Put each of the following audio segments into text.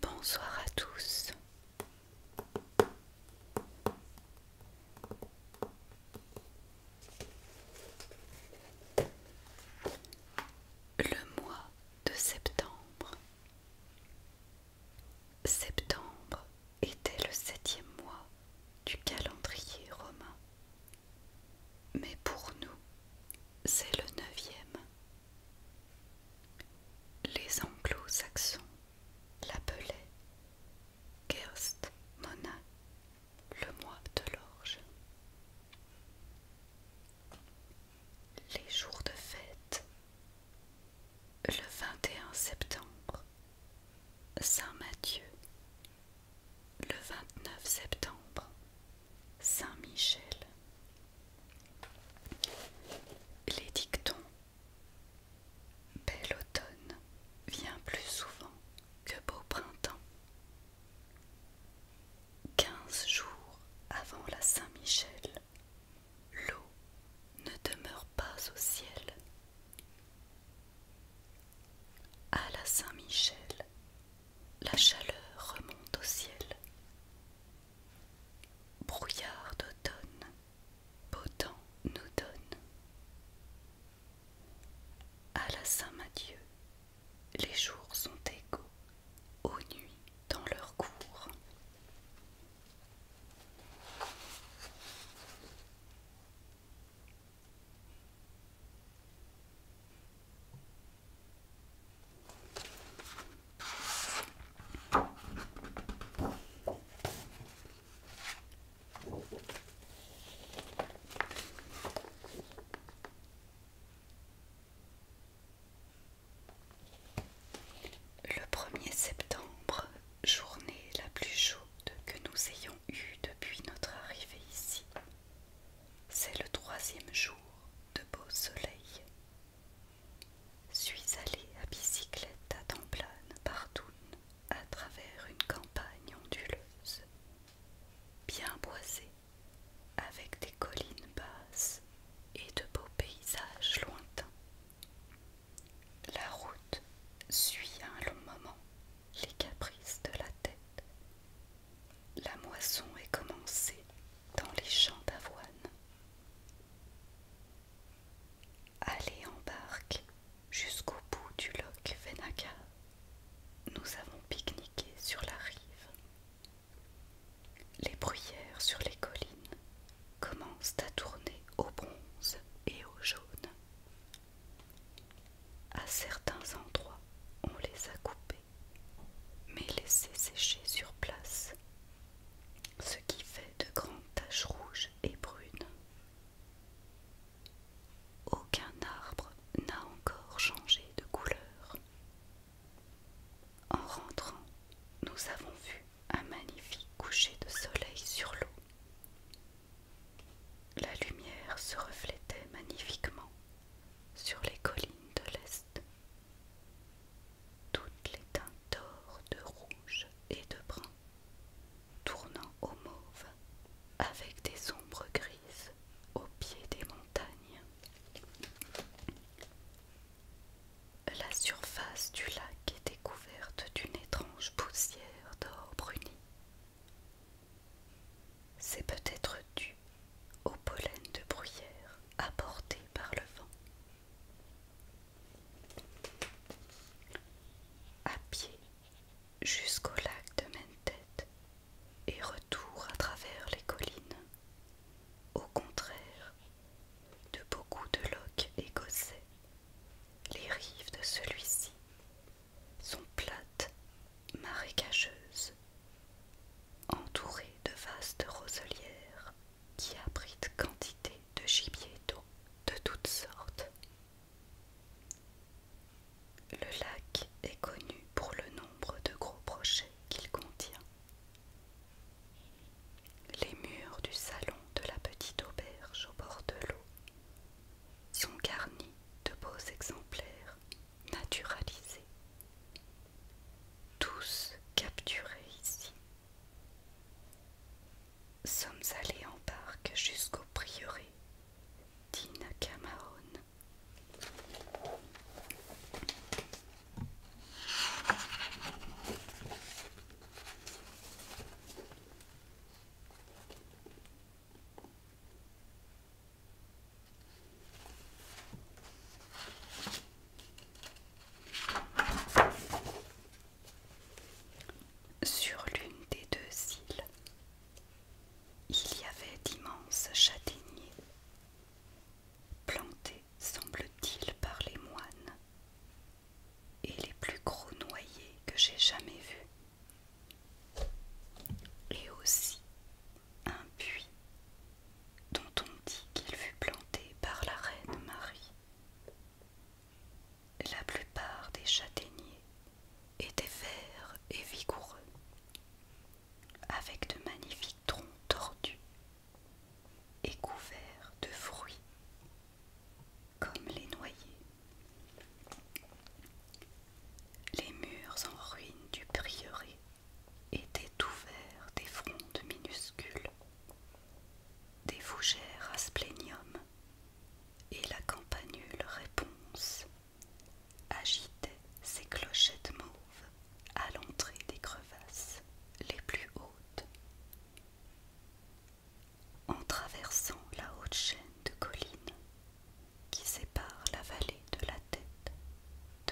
Bonsoir à tous. Le mois de septembre. Septembre était le septième mois du calendrier romain. Mais pour nous, c'est le neuvième les anglo-saxons l'appelaient Gerst Mona, le mois de l'orge. Les jours de fête. Le 21 septembre, Saint Matthieu. Le 29 septembre, Saint-Michel. Les dictons. Bel automne vient plus souvent que beau printemps. Quinze jours avant la Saint-Michel, l'eau ne demeure pas au ciel. À la Saint-Michel, la chaleur remonte au ciel. Brouillard d'automne, beau temps nous donne. À la Saint-Mathieu, les jours sont égaux aux nuits dans leur cours. Le 1er septembre, journée la plus chaude que nous ayons depuis notre arrivée ici. C'est le troisième jour de beau soleil. Suis allée à bicyclette à Templane, partout à travers une campagne onduleuse, bien boisée, avec des collines basses et de beaux paysages lointains. La route suit un long moment les caprices de la tête la moisson est commencée dans les champs d'avoine. Allez en barque jusqu'au bout du loch Venaka. Nous avons pique-niqué sur la rive. Les bruyères sur les collines commencent à tourner au bronze et au jaune. À certains endroits, on les a coupés, mais laissés sécher sur place, ce qui fait de grandes taches rouges et brunes. Aucun arbre n'a encore changé de couleur. En rentrant, nous avons vu un magnifique coucher de soleil sur l'eau. La lumière se reflétait magnifiquement sur les collines de l'Est. Toutes les teintes d'or, de rouge et de brun, tournant au mauve avec des ombres grises au pied des montagnes. La surface du lac était couverte d'une étrange poussière d'or bruni, c'est peut-être dû au pollen de bruyère apporté par le vent. À pied jusqu'au lac de Mentet et retour à travers les collines. Au contraire de beaucoup de loques écossais les rives de celui-ci sont plates, marécageuses, entourées de vastes roselières qui abritent quantité de gibier d'eau de toutes sortes. Le lac est connu pour le nombre de gros brochets qu'il contient. Les murs du salon de la petite auberge au bord de l'eau sont garnis de beaux exemplaires naturalisés, tous capturés ici. Sommes allés en barque jusqu'au prieuré d'Inakamaon. Sur l'une des deux îles, il y avait d'immenses châtaigniers, plantés, semble-t-il, par les moines et les plus gros noyers que j'ai jamais vus. Et aussi un puits dont on dit qu'il fut planté par la reine Marie. La plupart des châtaigniers étaient verts et vigoureux, avec de magnifiques troncs tordus et couverts de fruits comme les noyés. Les murs en ruine du prieuré étaient ouverts des frondes minuscules, des fougères à splénium et la campanule réponse agitait ses clochettes mauves à l'entrée des crevasses les plus hautes en traversant la haute chaîne de collines qui sépare la vallée de la tête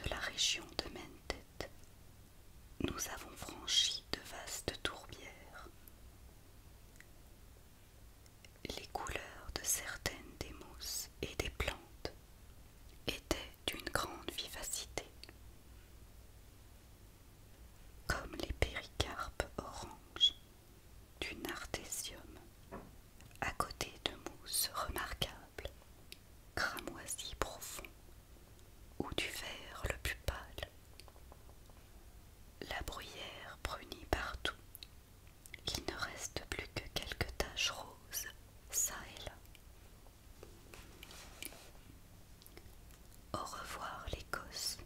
de la région de Mentet. Nous avons franchi de vastes tourbières. Les couleurs de certaines des mousses et des plantes étaient d'une grande vivacité comme les péricarpes oranges du nartésium, à côté de mousses remarquables, cramoisies profond ou du vert le plus pâle. La bruyère brunit partout. Il ne reste plus que quelques taches roses, ça et là, au revoir l'Écosse,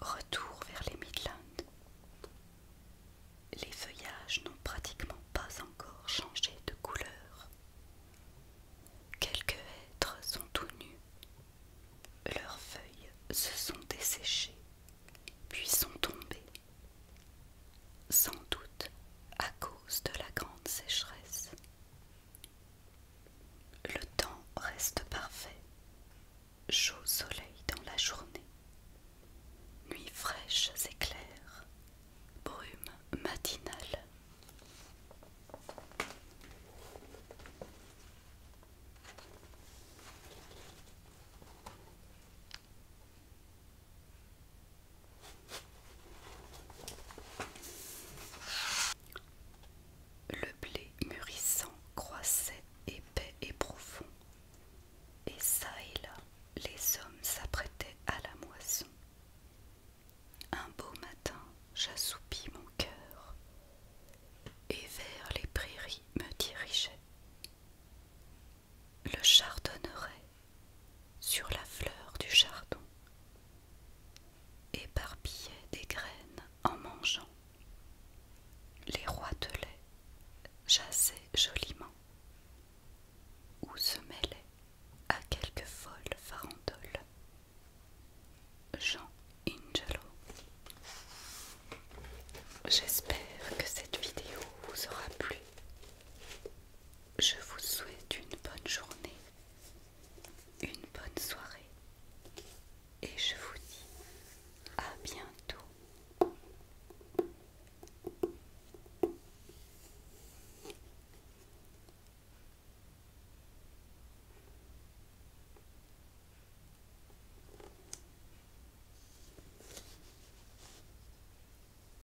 retour vers les Midlands. Les feuillages n'ont pratiquement pas encore changé de couleur. Quelques êtres sont tout nus. Leurs feuilles se sont desséchées, puis sont tombées. Sans doute à cause de la grande sécheresse, le temps reste parfait, chaud soleil dans la journée, nuits fraîches et claires, brume matinale. Le blé mûrissant croissait épais et profond, et çà et là, les hommes s'apprêtaient à la moisson. Un beau matin, j'assoupis mon cœur, et vers les prairies me dirigeais Le chardonneret sur la fleur du chardon, éparpillait des graines en mangeant. Les rois de lait chassaient joliment, ou se mêlaient à quelques folles farandoles. Jean Ingelo. J'espère que cette vidéo vous aura plu. Je vous souhaite une bonne journée, une bonne soirée et je vous dis à bientôt.